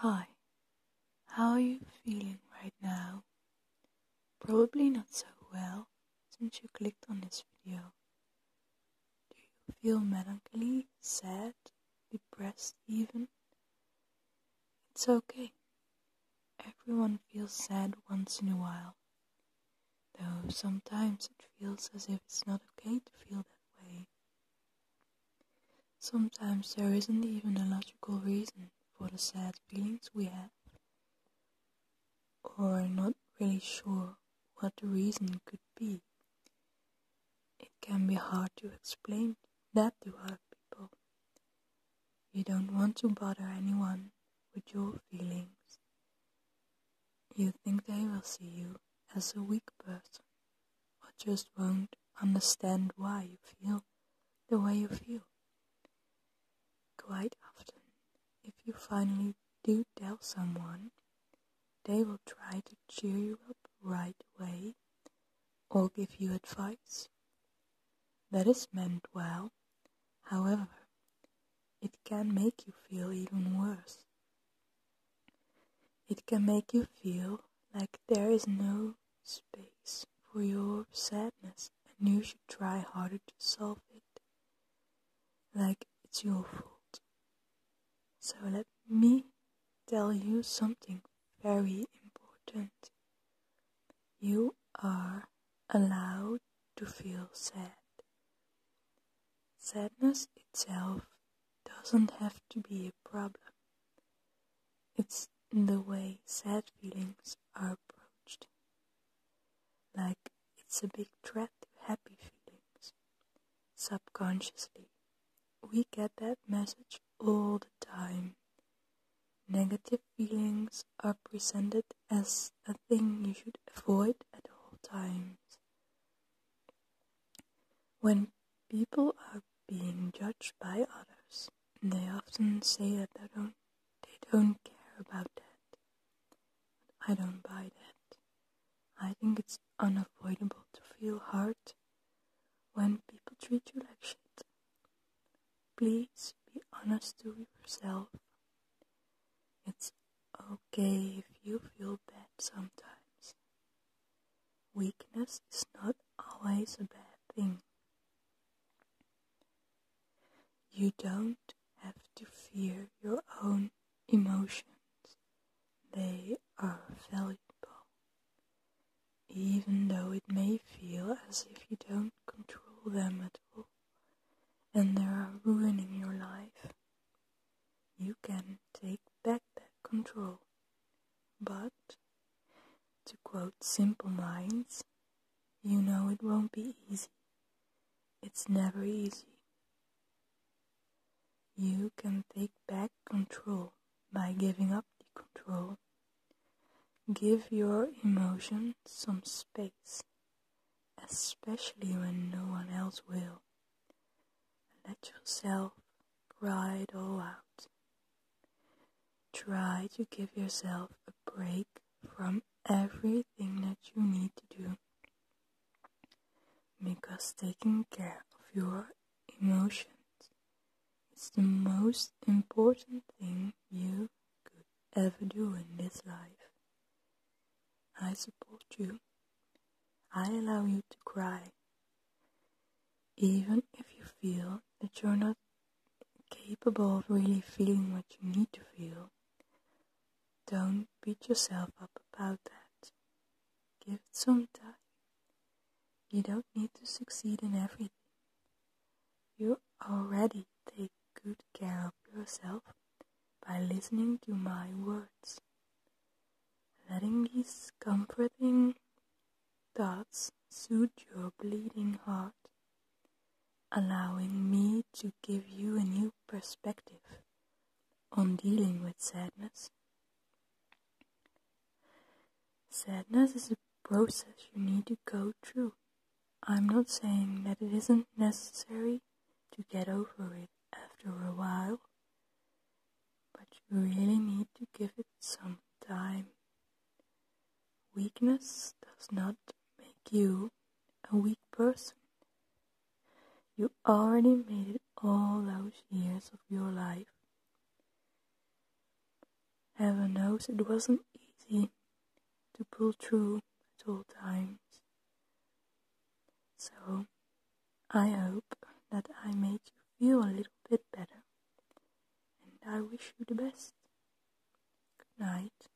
Hi, how are you feeling right now? Probably not so well since you clicked on this video. Do you feel melancholy, sad, depressed even? It's okay. Everyone feels sad once in a while. Though sometimes it feels as if it's not okay to feel that way. Sometimes there isn't even a logical reason for the sad feelings we have, or are not really sure what the reason could be. It can be hard to explain that to other people. You don't want to bother anyone with your feelings, you think they will see you as a weak person, or just won't understand why you feel the way you feel. Quite often, if you finally do tell someone, they will try to cheer you up right away or give you advice. That is meant well. However, it can make you feel even worse. It can make you feel like there is no space for your sadness and you should try harder to solve it. Like it's your fault. So let me tell you something very important. You are allowed to feel sad. Sadness itself doesn't have to be a problem. It's in the way sad feelings are approached. Like it's a big threat to happy feelings. Subconsciously, we get that message all the time. Negative feelings are presented as a thing you should avoid at all times. When people are being judged by others, they often say that they don't, they don't care about that. But I don't buy that. I think it's unavoidable to feel hurt when people treat you like shit. Please be honest to yourself. It's okay if you feel bad sometimes. Weakness is not always a bad thing. You don't have to fear your own emotions. They are valuable even though it may feel as if you don't control them at all and they are ruining your life. You can take back that control. But, to quote Simple Minds, you know it won't be easy. It's never easy. You can take back control by giving up the control. Give your emotions some space, especially when no one else will. Let yourself cry it all out. Try to give yourself a break from everything that you need to do because taking care of your emotions. It's the most important thing you could ever do in this life. I support you. I allow you to cry. Even if you feel that you're not capable of really feeling what you need to feel, don't beat yourself up about that. Give it some time. You don't need to succeed in everything. You already take good care of yourself by listening to my words. Letting these comforting thoughts soothe your bleeding heart, allowing me to give you a new perspective on dealing with sadness Sadness is a process you need to go through. I'm not saying that it isn't necessary to get over it after a while, but you really need to give it some time. Weakness does not make you a weak person. You already made it all those years of your life. Heaven knows it wasn't easy to pull through at all times. So, I hope that I made you feel a little bit better. And I wish you the best. Good night.